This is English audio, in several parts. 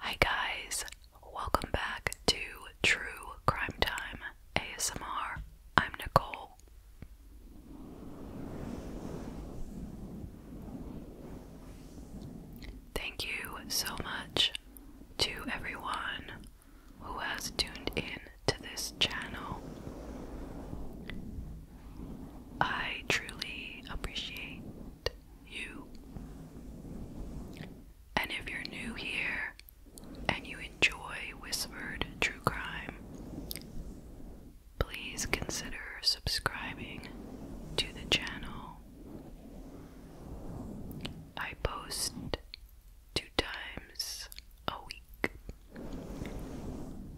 Hi, guys, welcome back to True Crime Time ASMR. I'm Nicole. Thank you so much to everyone who has tuned in to this channel. I truly appreciate you. And if you're new here and you enjoy Whispered True Crime, please consider subscribing to the channel. I post two times a week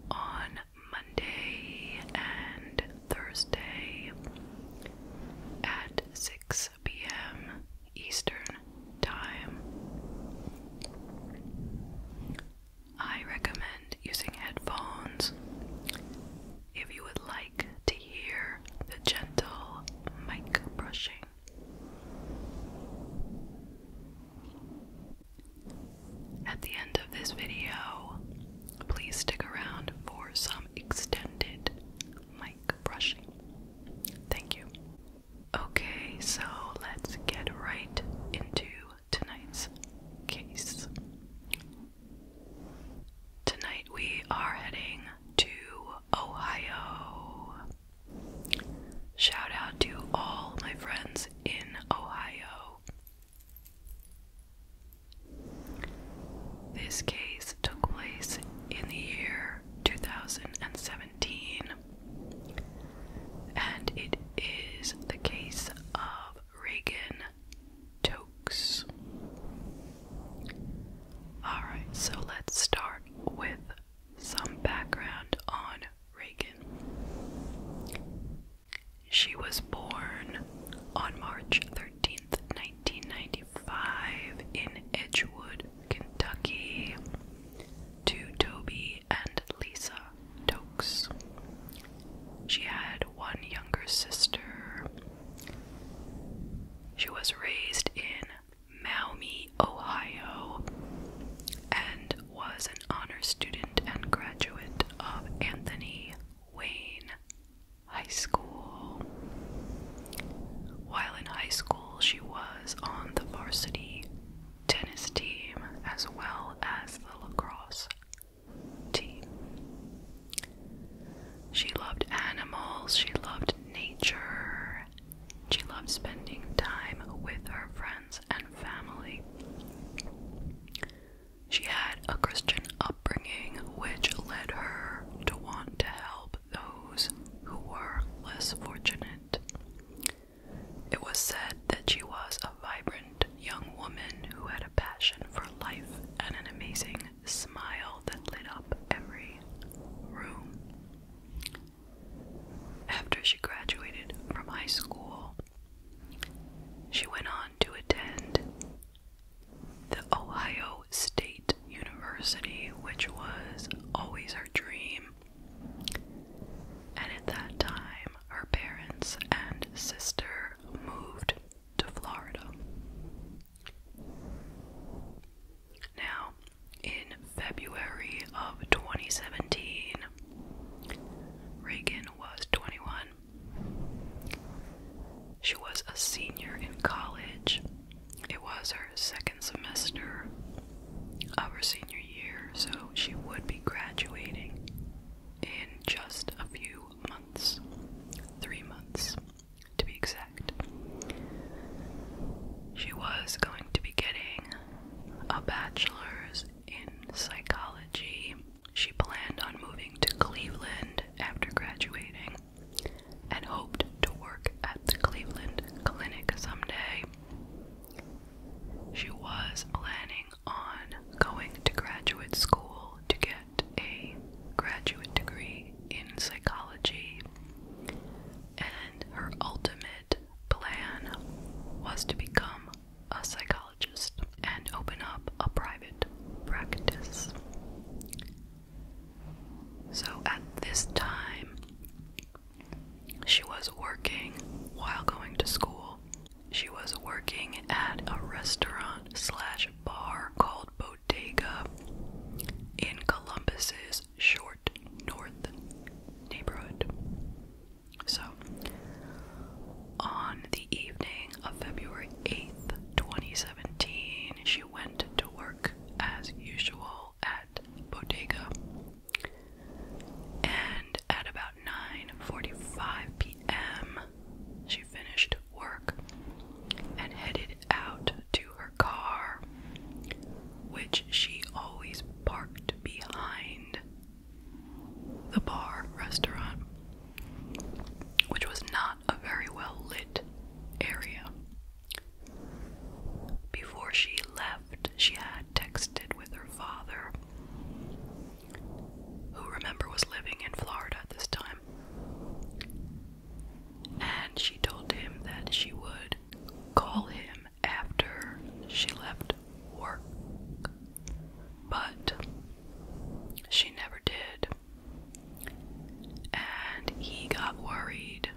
on Monday and Thursday at 6 p.m. Eastern Time. I recommend using headphones if you would like to hear the gentle mic brushing. At the end of this video, please stick around for some extended mic brushing. Thank you. Okay, so let's get right into tonight's case. Tonight we are heading to Ohio. Shout out to all my friends in Ohio. This case took place in the year 2017, and it is the case of Reagan Tokes. Alright, so let's start with some background on Reagan. She was born on March 13th, 1995, in Edgewood, Kentucky, to Toby and Lisa Tokes. She had one younger sister. She was raised in Maumee, Ohio, and was an honor student and graduate of Anthony Wayne High School. While in high school, she was on the varsity tennis team as well as the lacrosse team. She loved animals, she loved nature, she loved spending time with her friends and family. She had a Christian upbringing which led her to want to help those who were less fortunate. It was said that she was a vibrant young woman who had a passion for life and an amazing smile that lit up every room. After she graduated from high school, she went on to attend the Ohio State University, which was always her dream. And at that time, her parents and sister moved to Florida. Now, in February of 2017, Reagan was 21. She was a senior in college. It was her second semester of her senior year, so she would be graduating in just a few months. Three months, to be exact. She was going to be getting a bachelor's in psychology. She planned on moving to Cleveland after graduating and hoped to work at the Cleveland Clinic someday. She was planning on going to graduate school to get a graduate degree in psychology, and her ultimate plan was to become a psychologist and open up a private practice. So at this time, she was working while going to school. She was working at a restaurant slash bar called Bodega in Columbus's short north neighborhood. So, on the evening of February 8th, 2017, she went to work as usual at Bodega. And at about 9:45 p.m., she finished work and headed out to her car which she always parked behind the bar restaurant, which was not a very well lit area. Before she left, she had texted with her father, who remember was living in Florida at this time. And she told him that she would call him after she left work, but she never did. And he got worried,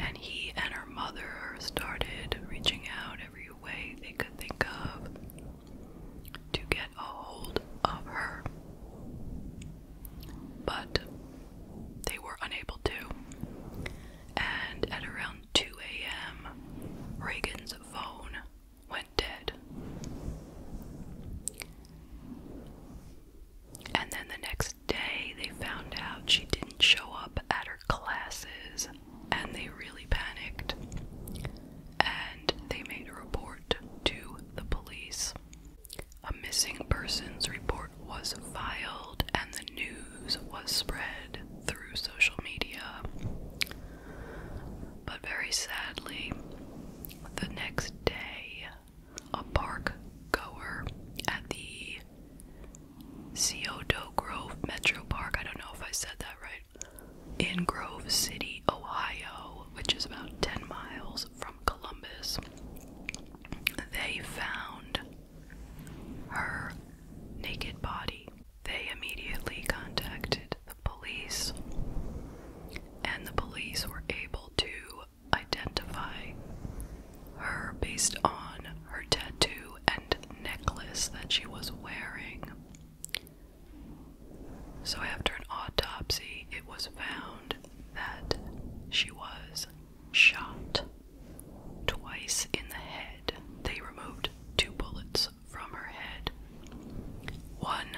and he and her mother started reaching out every way they could think of to get a hold of her. But they were unable to and at around 2 a.m., Reagan's phone went dead. And then the next day, they found out she didn't show up at her classes, and they really panicked. And they made a report to the police. A missing persons report was filed and the news was spread through social media. But very sadly, the next day, a park goer at the Scioto Grove Metro Park, I don't know if I said that right, in Grove City, Ohio, which is about 10 miles from Columbus, they found her naked body. They immediately contacted the police, and the police were able to identify her based on her tattoo and necklace that she was wearing. So, after an autopsy, it was found that she was shot twice in the head. They removed two bullets from her head. One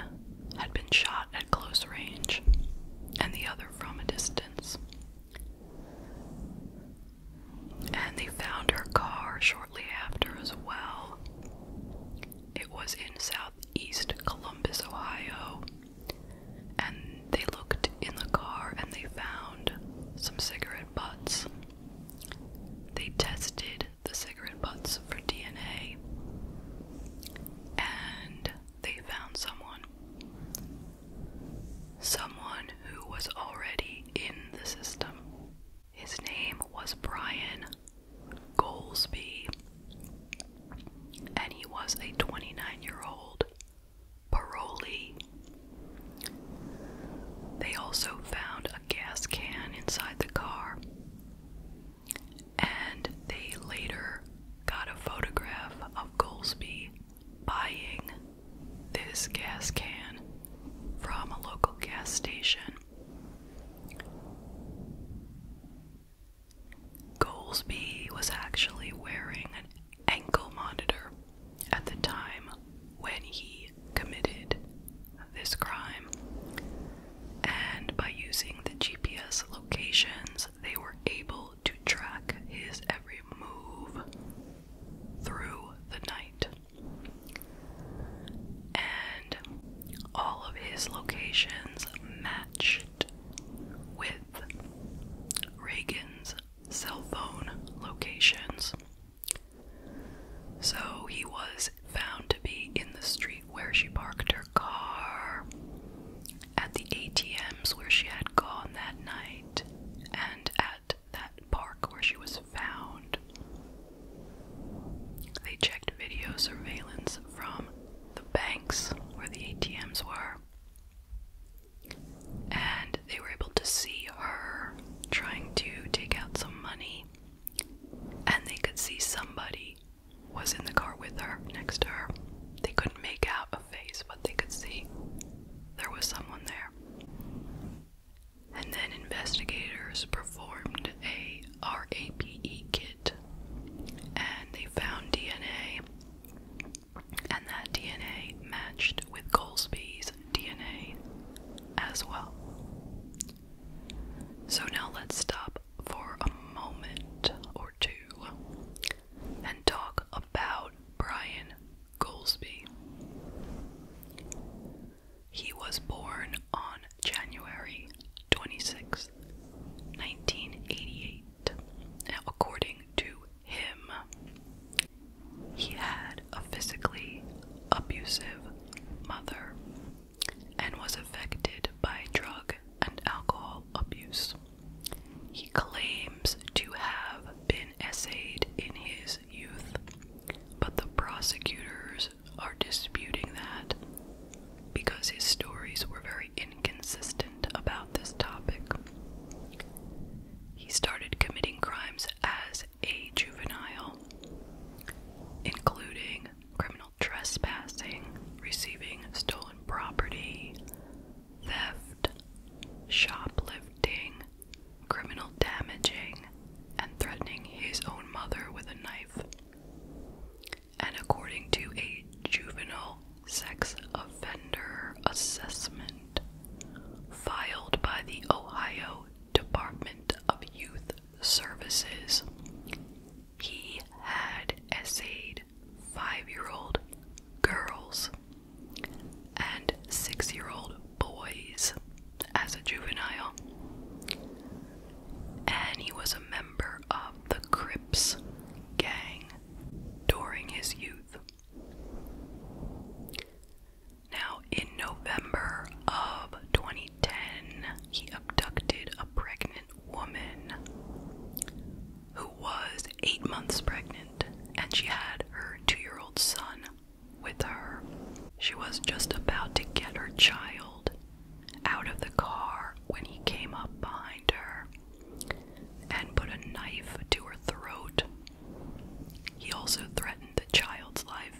had been shot at close range, and the other from a distance. And they found her car shortly after as well. It was in southeast Columbus, Ohio, and they looked in the car and they found some cigarette butts. They tested the cigarette butts for DNA and they found someone. Someone who was already in the system. His name was Brian Goldsby, and he was a 29 year old Paroli. They also found a gas can inside the car, and they later got a photograph of Goldsby buying this gas can from a local gas station. Goldsby was actually wearing an ankle monitor at the time when he committed this crime. And by using the GPS locations, they were able to track his every move through the night. And all of his locations matched with Reagan's cell phone locations. So he was found to be in the street where she parked her car, at the ATMs where she had gone that night, and at that park where she was found. They checked video surveillance from the banks where the ATMs were and they were able to see her trying to take out some money, and they could see somebody was in the car with her, next to her. They couldn't make out a face, but they could see there was someone there. And then investigators performed a RAPE kit and they found DNA and that DNA matched with Goldsby's DNA as well. So now let's stop for a moment or two and talk about Brian Goldsby. He was born on January 26, 1988, according to him. He had a physically abusive mother and was affected by drug and alcohol abuse. He claims to have been essayed in his youth, but the prosecutors are disputing that because his stories were very inconsistent about this topic. He started committing crimes as a juvenile, including criminal trespassing, receiving stolen property, theft, shoplifting, criminal damaging, and threatening his own mother with a knife. And according to a juvenile sex offender assessment, filed by the Ohio Department of Youth Services. He had essayed five year old girls and six year old boys as a juvenile, and he was a member of the Crips gang during his youth. Now, in November of 2010, he abducted a pregnant woman who was eight months pregnant, and she had her two year old son with her. She was just about to get her child out of the car when he came up behind her and put a knife to her throat. He also threatened the child's life.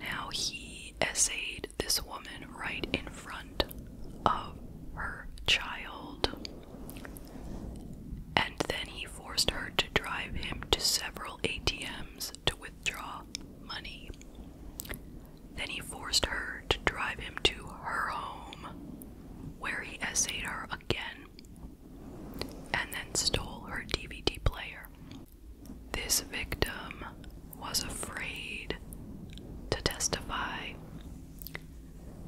Now he essayed this woman right in front of her child, and then he forced her to drive him to several ATMs to withdraw money. Then he forced her to drive him to her home, where he essayed her again and then stole her DVD player. This victim was afraid to testify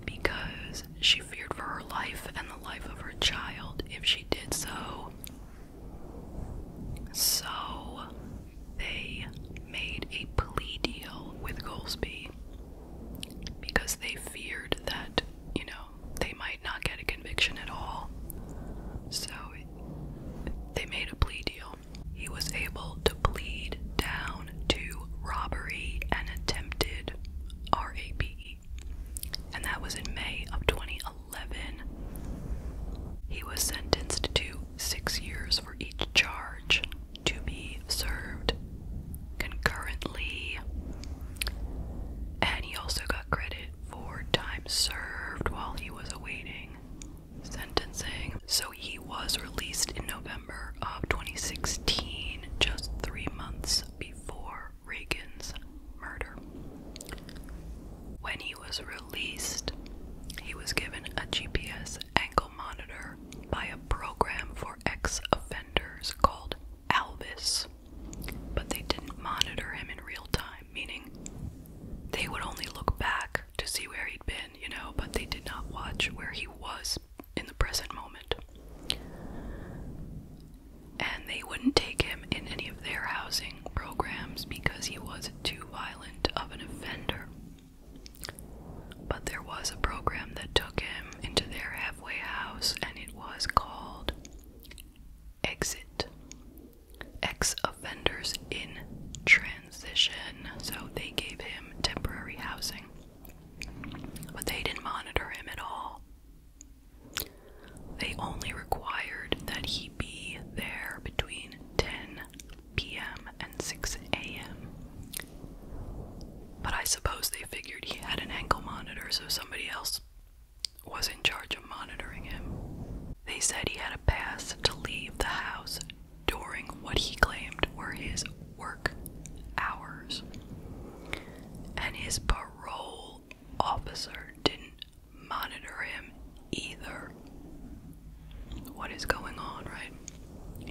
because she feared for her life and the life of her child if she did so. So they made a plea deal with Goldsby because they feared that, you know, they might not get a conviction at all. So they made a plea deal. He was able to plead down to robbery and attempted RAPE. And that was in May of 2011. He was sentenced to six years for each charge to be served concurrently. And he also got credit for time served while he was awaiting sentencing. So he was released in November of 2016, just three months before Reagan's murder. When he was released, he was given a GPS ankle monitor by a program for ex offenders called Alvis. But they didn't monitor him in real time, meaning they would only look back to see where he'd been, you know, but they did not watch where he was in the present moment. And they wouldn't take him in any of their housing programs because he was too violent of an offender. But there was a program that took him into their halfway house, and it was called exit ex offenders in transition. So they gave him temporary housing, but they didn't monitor him at all. They only required that he be there between 10 p.m. and 6 a.m. But I suppose they figured he had an ankle monitor, so somebody else was in charge of monitoring him. They said he had a pass to leave the house during what he claimed were his work hours. And his parole officer didn't monitor him either. What is going on, right?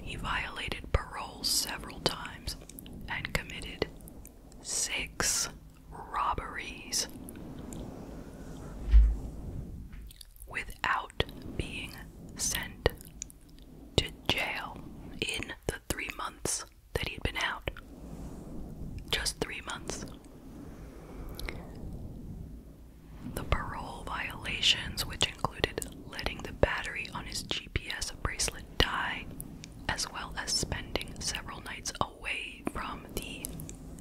He violated parole several times and committed six robberies without being sent to jail in the three months that he'd been out. Just three months. The parole violations, which included letting the battery on his GPS bracelet die, as well as spending several nights away from the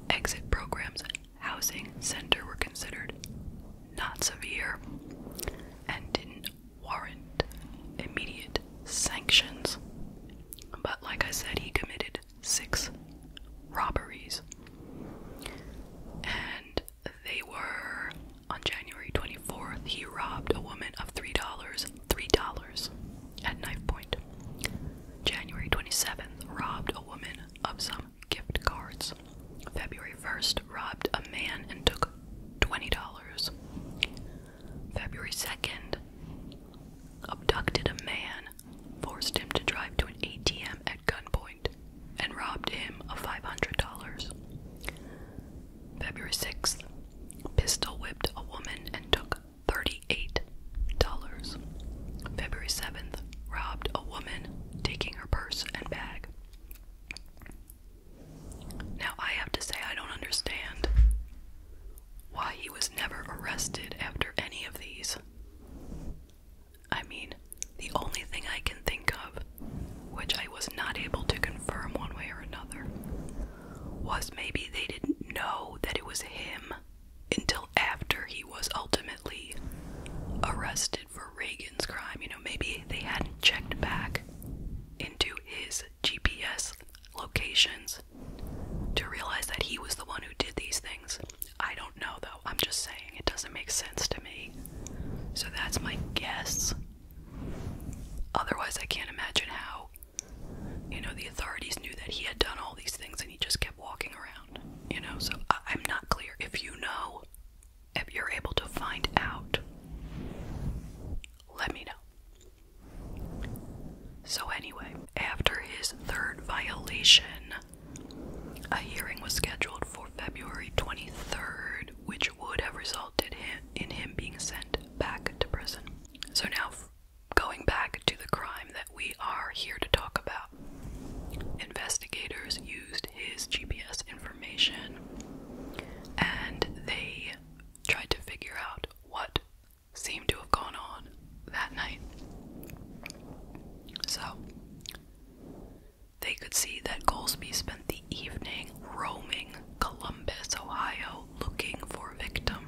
exit programs housing center were considered not severe and didn't warrant immediate sanctions. But like I said, he committed six robberies. And they were on January 24th, he robbed a woman of $3 $3 at knife point. January 27th, robbed a woman of some gift cards. February 1st, robbed a man and took $20. February 2nd, abducted a man, forced him to drive to an ATM at gunpoint, and robbed him of $500. February 6th, pistol whipped a woman and took $38. February 7th, robbed a woman, taking her purse and bag. Now, I have to say, I don't understand why he was never arrested after any of these. I mean, the only thing I can think of, which I was not able to confirm one way or another, was maybe they didn't know that it was him until after he was ultimately arrested for Reagan's crime. You know, maybe they hadn't checked back into his GPS locations to realize that he was the one who did these things. I don't know though. I'm just saying it doesn't make sense to me. So that's my guess. Otherwise, I can't imagine how you know, the authorities knew that he had done all these things and he just kept walking around, you know. So I am not clear. If you know, if you're able to find out, let me know. So, anyway, after his third violation, a hearing was scheduled for February 23rd, which would have resulted in him being sent back to prison. So now going back to the crime that we are here to talk about, investigators used his GPS information and they tried to figure out what seemed to have gone on that night. So, they could see that Goldsby spent the evening roaming Columbus, Ohio, looking for a victim.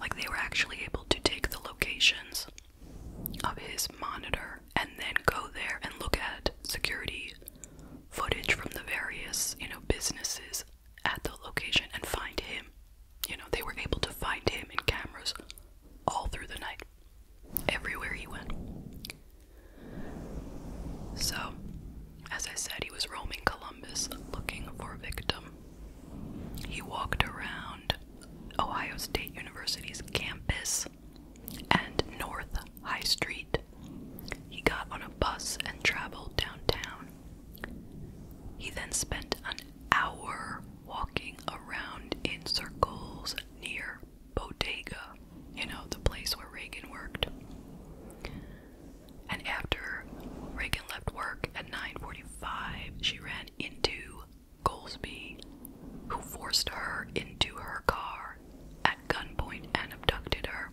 Like they were actually able to take the locations of his monitor and then go there and look at security footage from the various, you know, businesses at the location and find him. You know, they were able to find him in cameras all through the night, everywhere he went. So, as I said, he was roaming Columbus looking for a victim. He walked around Ohio State University's campus and North High Street. He got on a bus and traveled downtown. He then spent an hour walking around in circles near Bodega, you know, the place where Reagan worked and after Reagan left work at 9:45, she ran into Goldsby, who forced her into her car at gunpoint and abducted her.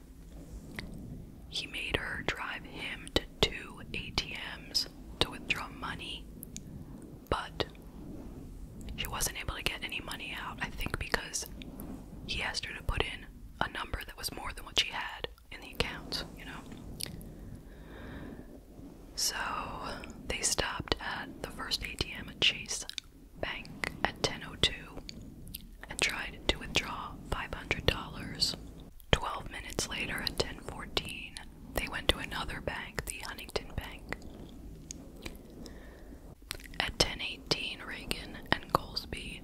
He made her drive him to two ATMs to withdraw money, but she wasn't able to get any money out, I think, because he asked her to put in a number that was more than what she had in the account, you know. So they stopped at the first ATM at Chase Bank at 10:02 and tried to withdraw $500. 12 minutes later at 10:14, they went to another bank, the Huntington Bank. At 10:18, Reagan and Goldsby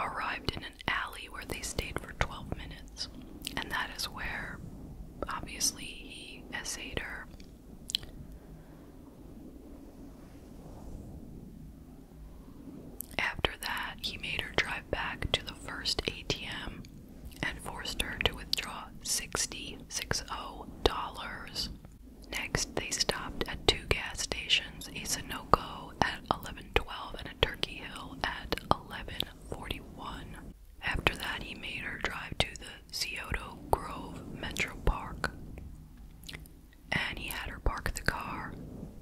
arrived in an alley where they stayed for 12 minutes. And that is where, obviously, he essayed her. After that, he made her drive back to the first ATM and forced her to withdraw $60, $60. Next, they stopped at two gas stations, a Sunoco at 11 1112 and a Turkey Hill at 1141. After that, he made her drive to the Scioto Grove Metro Park. And he had her park the car,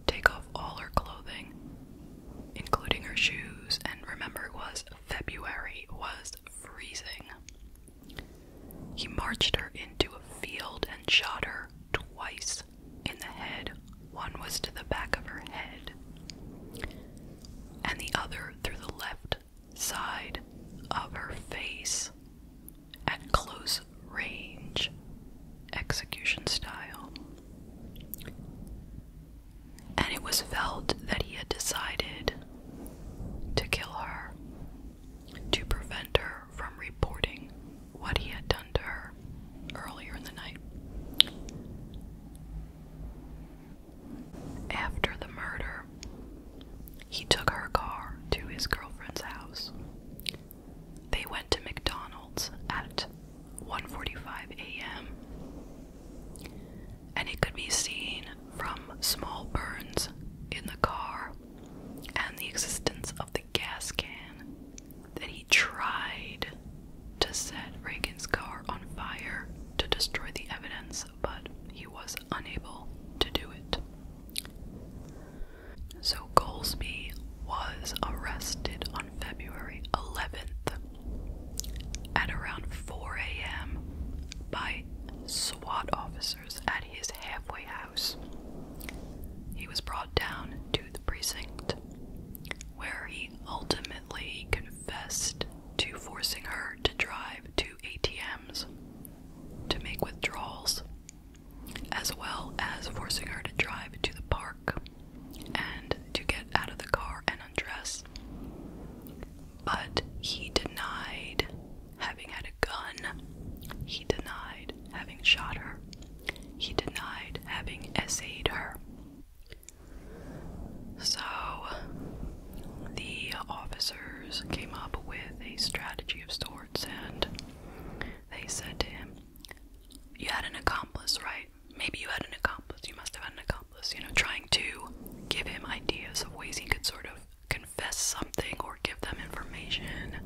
take off all her clothing, including her shoes, and remember it was February, was freezing. He marched her into a field and shot her twice in the head. One was to the back of her head, and the other through the left side of her face at close range, execution style. And it was felt that he had decided to kill her to prevent her from reporting what he had done to her earlier in the night. After the murder, he took her car to his girlfriend's house. They went to McDonald's at 1:45 a.m. and it could be seen from small burns in the car and the existence of the gas can that he tried to set Reagan's car on fire to destroy the evidence, but he was unable to do it. So Goldsby was arrested on February 11th at around 4 a.m. by SWAT officers at his halfway house. He was brought down to the precinct where he ultimately confessed to forcing her to drive to ATMs to make withdrawals, as well as forcing her to drive to the park and to get out of the car and undress. But he denied having had a gun, he denied having shot her, he denied having essayed her. So, the officers came up with a strategy of sorts and they said to him, You had an accomplice, right? Maybe you had an accomplice. You must have had an accomplice, you know, trying to give him ideas of ways he could sort of confess something or give them information.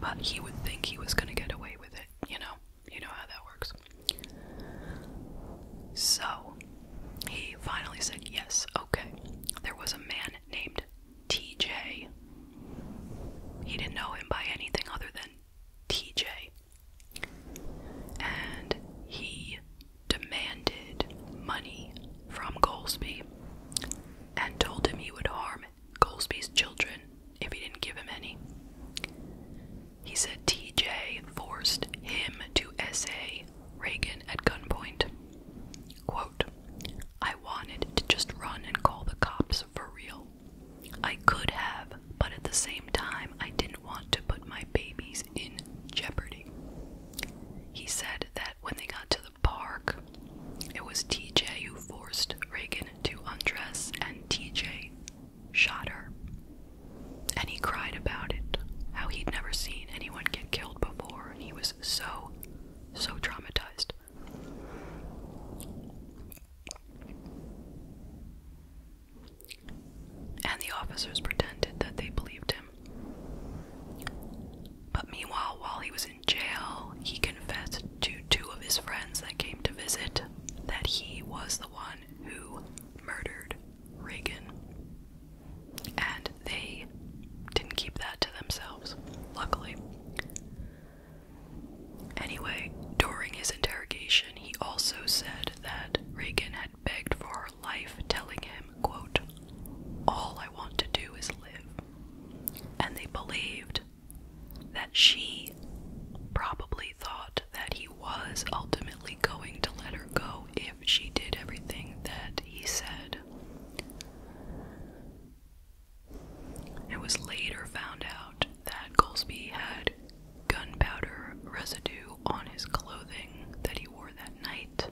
But he would think he was going to get away with it, you know? You know how that works. So he finally said, Yes, okay. There was a man named TJ. He didn't know him by anything other than TJ. And he demanded money from Goldsby and told him he would harm Goldsby's children if he didn't give him any. He said TJ forced him to essay Reagan at gunpoint. I wanted to just run and call the cops for real. I could have, but at the same time, I didn't want to put my babies in jeopardy. He said that when they got to the park, it was TJ who forced Reagan to undress, and TJ shot her. And he cried about it, how he'd never seen anyone get killed before, and he was so, so traumatized. And the officers pretended that they believed him. But meanwhile, while he was in jail, he confessed to two of his friends that came to visit that he was the one who murdered Reagan. And they didn't keep that to themselves, luckily. Anyway, during his interrogation, he also said that Reagan had begged for her life, telling him, quote, all I want to do is live. And they believed that she probably thought that he was ultimately going to let her go if she did everything that he said. It was later found out that Goldsby had gunpowder residue on his clothing that he wore that night,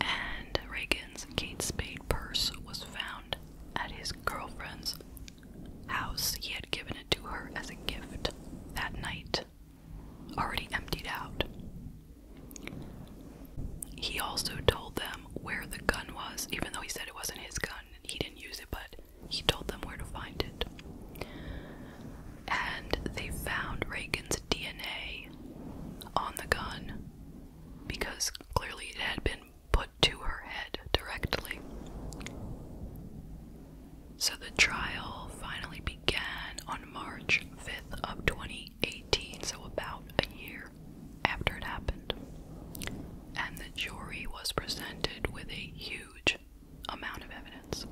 and Reagan's Kate Spade purse was found at his girlfriend's house, he had given it to her as a gift that night, already emptied out. He also told them where the gun was, even though he said it wasn't his gun, and he didn't use it, but he told them where to find it. And they found Reagan's DNA on the gun because clearly it had been put to her head directly. So the trial finally began on March 5th of 2018, so about a year after it happened. And the jury was presented with a huge amount of evidence.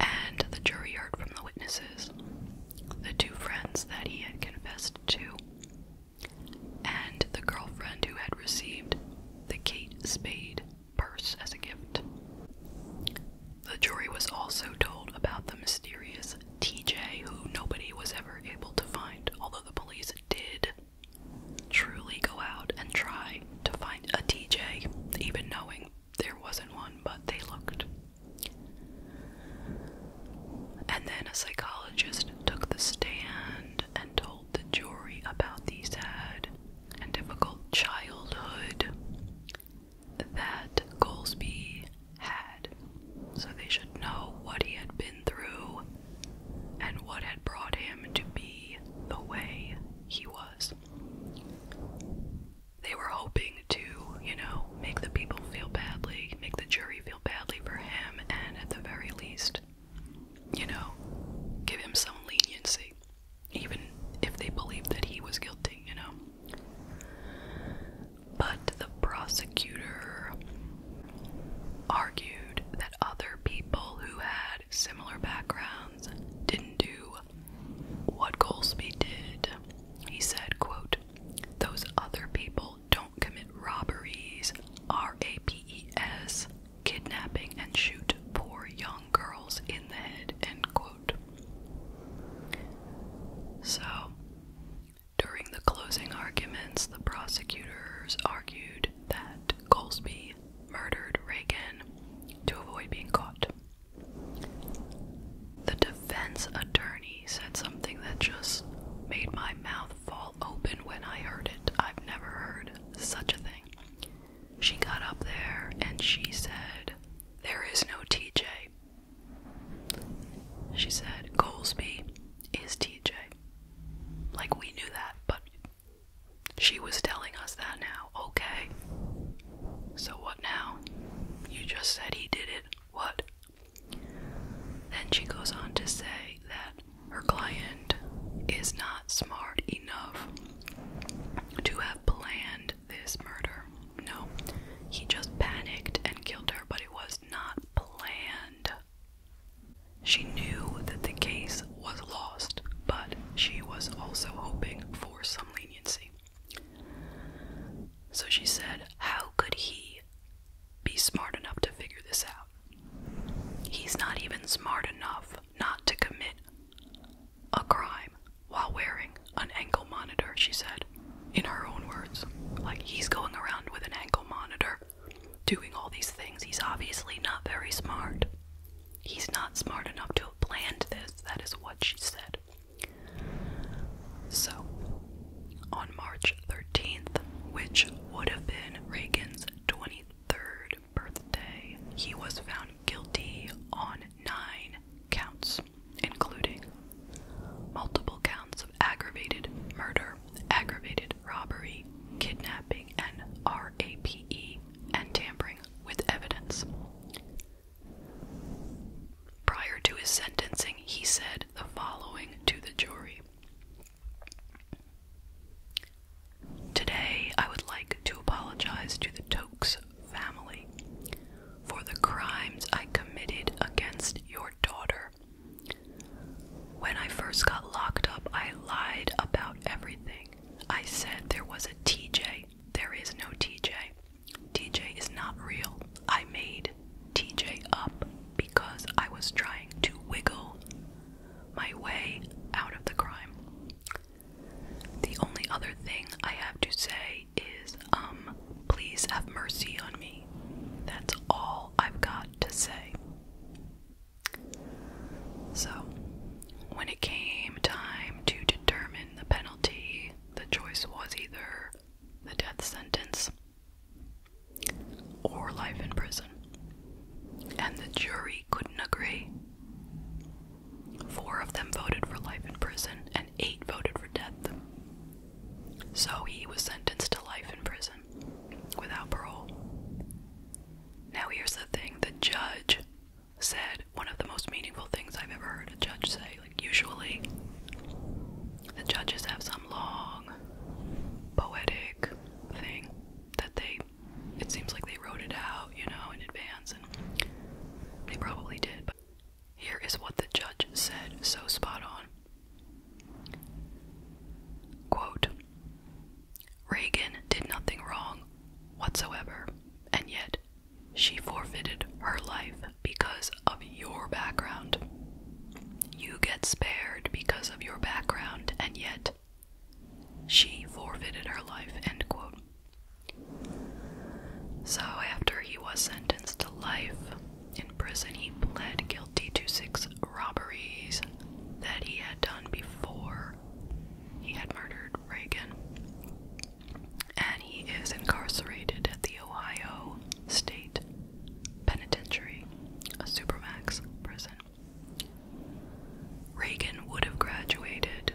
And the jury heard from the witnesses, the two friends that he had confessed to, and the girlfriend who had received the Kate Spade purse as a gift. The jury was also told about the mysterious TJ, who nobody was ever able to find, although the police did truly go out and try to find a TJ, even knowing there wasn't one, but they looked. And then a psychologist took the stand and told the jury about the sad and difficult childhood that Goldsby had. So they should know what he had been through and what had brought him to be the way he was. They were hoping to, you know, make the people feel badly, make the jury feel badly for him, and at the very least, you know, give him some leniency, even if they believed that he was guilty, you know. But the prosecutor argued that other people who had similar backgrounds didn't do what Goldsby did. He said, quote, those other people don't commit robberies, R A P E S, kidnapping and shoot poor young girls in the head, end quote. So, during the closing arguments, the prosecutors argued that Goldsby murdered Reagan to avoid being caught. The defense attorney said something that just made my mouth fall open when I heard it. I've never heard such a thing. She got up there and she said, There is no TJ. She said, Goldsby is TJ. Like, we knew that, but she was telling us that now. Okay. So, what now? You just said he did it. What? Then she goes on to say that her client is not smart enough to have planned this murder. No, he just panicked and killed her, but it was not planned. She knew that the case was lost, but she was also hoping for some leniency. So she said, How could he be smart enough to figure this out? He's not even smart enough not to commit a crime while wearing an ankle monitor, she said, in her own words. Like, he's going around with an ankle monitor, doing all these things. He's obviously not very smart. He's not smart enough to have planned this. That is what she said. So, on March 13th, which would have been Reagan's 23rd birthday, he was found guilty on nine counts, including multiple counts of aggravated murder, aggravated robbery, kidnapping, and RAPE, and tampering with evidence. Prior to his sentencing, he said the following to the jury Today, I would like to apologize to the Tokes family for the crimes I committed against your daughter. When I first got locked up, I lied about everything. I said there was a TJ. There is no TJ. TJ is not real. I made TJ up because I was trying to wiggle my way out of the crime. The only other thing I have to say is, um, please have mercy on me. That's all I've got to say. So, when it came time to determine the penalty, the choice was either the death sentence or life in prison. And the jury couldn't agree. Four of them voted for life in prison, and eight voted for death. So he was sentenced to life in prison without parole. Now, here's the thing the judge said one of the most meaningful things I've ever heard a judge say. Like, usually, the judges have some long, poetic thing that they it seems like they wrote it out, you know, in advance, and they probably did. But here is what the judge said, so spot on. Quote Reagan did nothing wrong whatsoever, and yet she forfeited her life because of your background. You get spared because of your background, and yet she forfeited her life, end quote. So, after he was sentenced to life in prison, he pled guilty to six robberies that he had done before he had murdered Reagan. And he is incarcerated at the Ohio State Penitentiary, a Supermax prison. Reagan would have graduated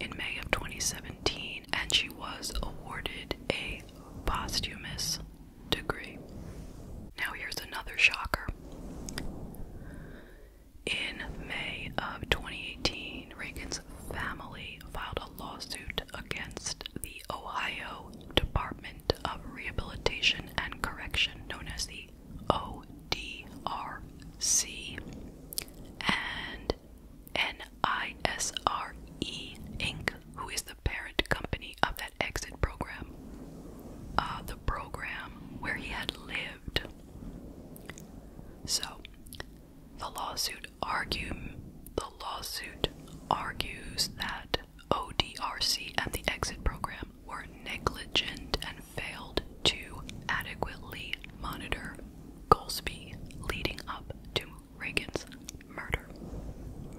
in May of 2017, and she was awarded a posthumous degree. Now, here's another shocker. In May of 2018, Reagan's family filed a lawsuit against the Ohio Department of Rehabilitation and Correction, known as the O D R C and NISRE Inc., who is the parent company of that exit program, uh, the program where he had lived. So, the lawsuit argue the lawsuit argues that ODRC and the exit program were negligent and failed to adequately monitor Goldsby leading up to Reagan's murder.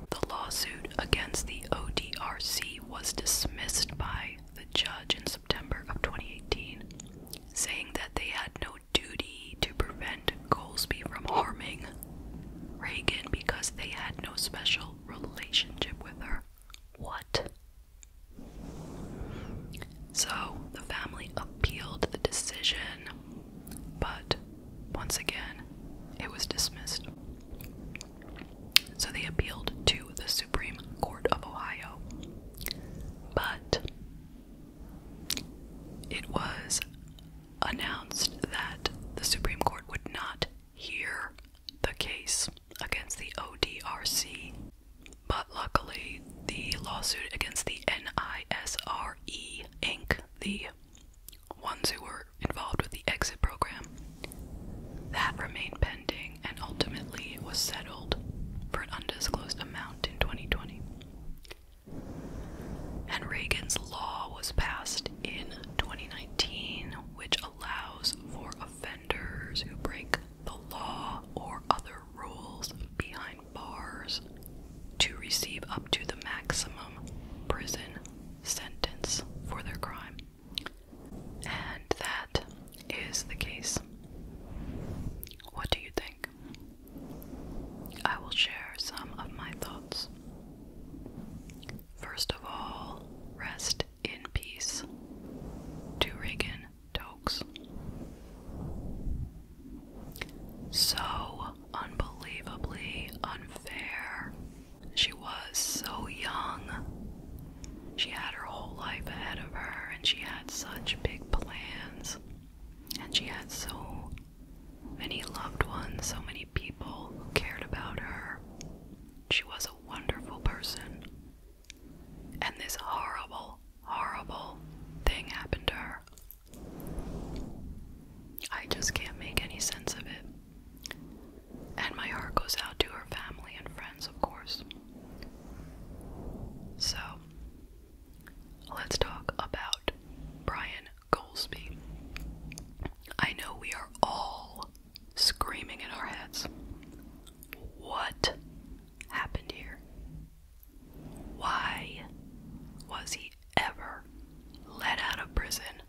The lawsuit against the ODRC was dismissed by the judge in September of 2018, saying that they had no duty to prevent Goldsby from harming Reagan because they had no special relationship with her. What? So the family appealed the decision, but once again, it was dismissed. So they appealed to the Supreme Court of Ohio. But it was announced that the Supreme Court would not hear the case against the ODRC. But luckily, the lawsuit against the NISRE Inc., the ones who were involved with the exit program, that remained pending and ultimately was settled for an undisclosed amount in 2020. And Reagan's law was passed in 2019, which allows for a who break the law or other rules behind bars to receive up to the maximum prison sentence for their crime. And that is the case. What do you think? I will share some of my thoughts. First of all, rest in peace to Reagan Tokes. So unbelievably unfair. She was so young. She had her whole life ahead of her, and she had such big plans. And she had so many loved ones, so many people who cared about her. She was a wonderful person, and this horrible, horrible thing happened to her. I just can't make any sense of it. And my heart goes out to her family and friends, of course. So, let's talk about Brian Goldsby. I know we are all screaming in our heads. What happened here? Why was he ever let out of prison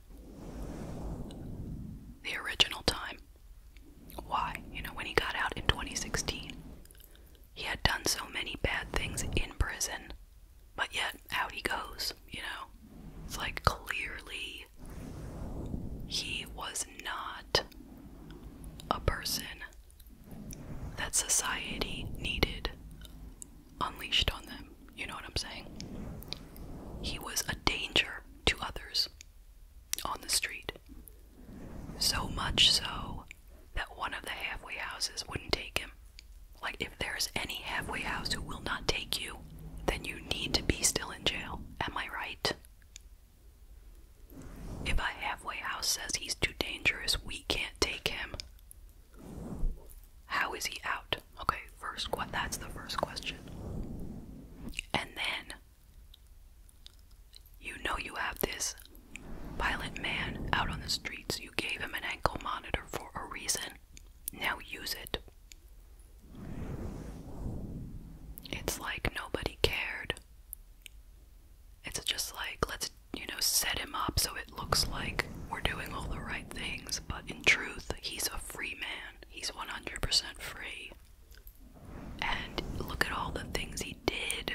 the original time? Why? You know, when he got out in 2016, he had done so many bad things in prison, but yet out he goes, you know? It's like clearly he was not a person that society needed unleashed on them. You know what I'm saying? He was a danger to others on the street. So much so that one of the halfway houses wouldn't take him. Like, if there's any halfway house who will not take you, then you need to be still in jail. Am I right? If a halfway house says he's too dangerous, we can't take him. How is he out? Okay, first what that's the first question. And then you know you have this violent man out on the streets. You gave him an ankle monitor for a reason. Now use it. It's like nobody cared. It's just like, let's, you know, set him up so it looks like we're doing all the right things, but in truth, he's a free man. He's 100% free. And look at all the things he did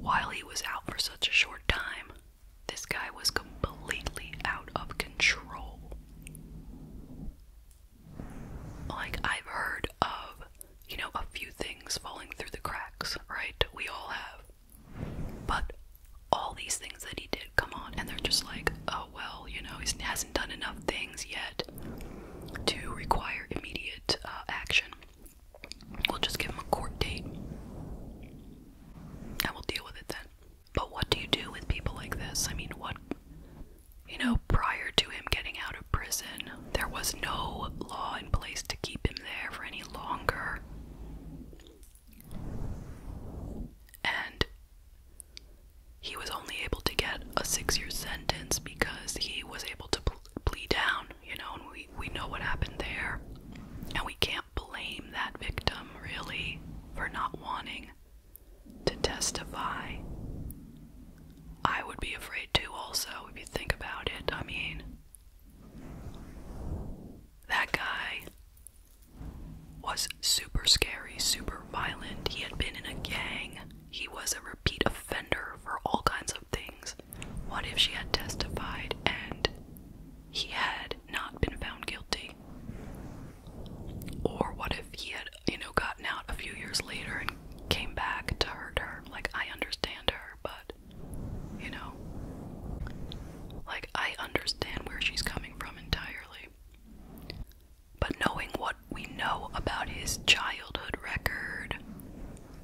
while he was out for such a short time. This guy was completely out of control like I've heard of, you know, a few things falling through the cracks, right? We all have. But all these things that he did come on, and they're just like, oh well, you know, he hasn't done enough things yet to require immediate uh, action. We'll just give him a court date and we'll deal with it then. But what do you do with people like this? I mean, what you know, prior to him getting out of prison, there was no law in place to keep him there for any longer. And he was only able to get a six year sentence because he was able to pl plead down, you know, and we, we know what happened there. And we can't blame that victim, really, for not wanting to testify. I would be afraid too, also, if you think about it. I mean, that guy was super scary, super violent. He had been in a gang, he was a repeat offender for all kinds of things. What if she had testified and he had not been found guilty? Or what if he had you know, gotten out a few years later and came back to hurt her. Like, I understand her, but, you know, like, I understand where she's coming from entirely. But knowing what we know about his childhood record,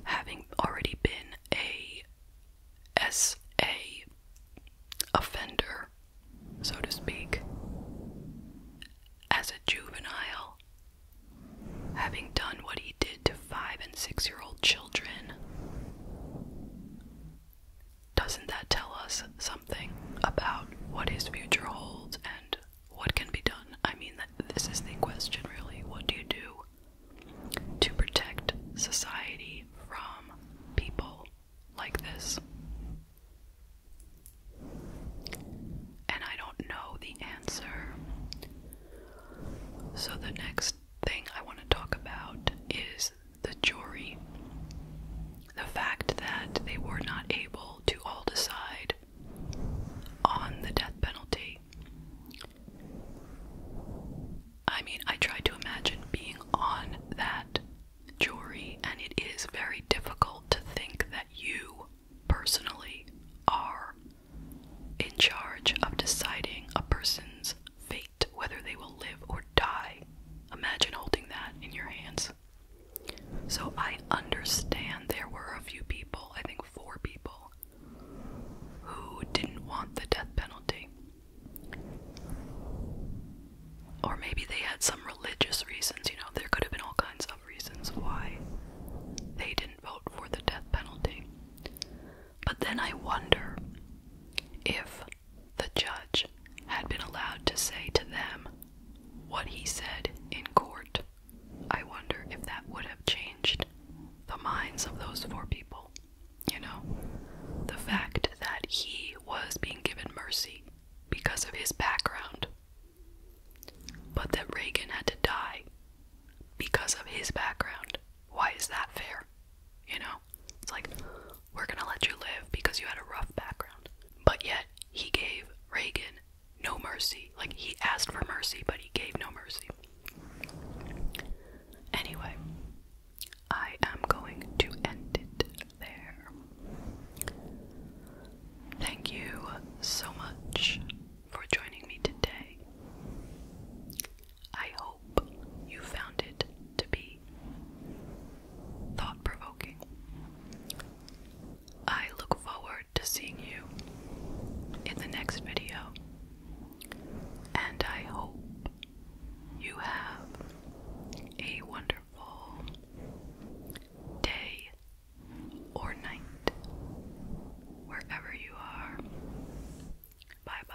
having already been a SA offender, so to speak, as a juvenile, having done what he did to five and six year old children. Doesn't that tell us something about what his future holds and what can be done? I mean, this is the question really. What do you do to protect society from people like this? and I don't know the answer. So, the next thing I want to talk about is the jury. The fact that they were not able to all decide on the death penalty. I mean, I try to imagine being on that jury, and it is very difficult to think that you personally are in charge of deciding a person's fate, whether they will live or die. Imagine holding that in your hands. So I understand there were a few people, I think four people, who didn't want the death penalty. Or maybe they had some religious reasons, you know, there could have been all kinds of reasons why they didn't vote for the death penalty. But then I wonder if the judge had been allowed to say to them what he said in court. I wonder if that would have changed the minds of those four people. You know, the fact that he was being given mercy because of his background but that Reagan had to die because of his background. Why is that fair? You know? It's like, we're gonna let you live because you had a rough background. But yet, he gave Reagan no mercy. Like, he asked for mercy, but he gave no mercy. Anyway, I am going to end it there. Thank you so much for joining me today. I hope you found it to be thought provoking. I look forward to seeing you in the next video, and I hope you have a wonderful day, or night, wherever you are. Bye bye.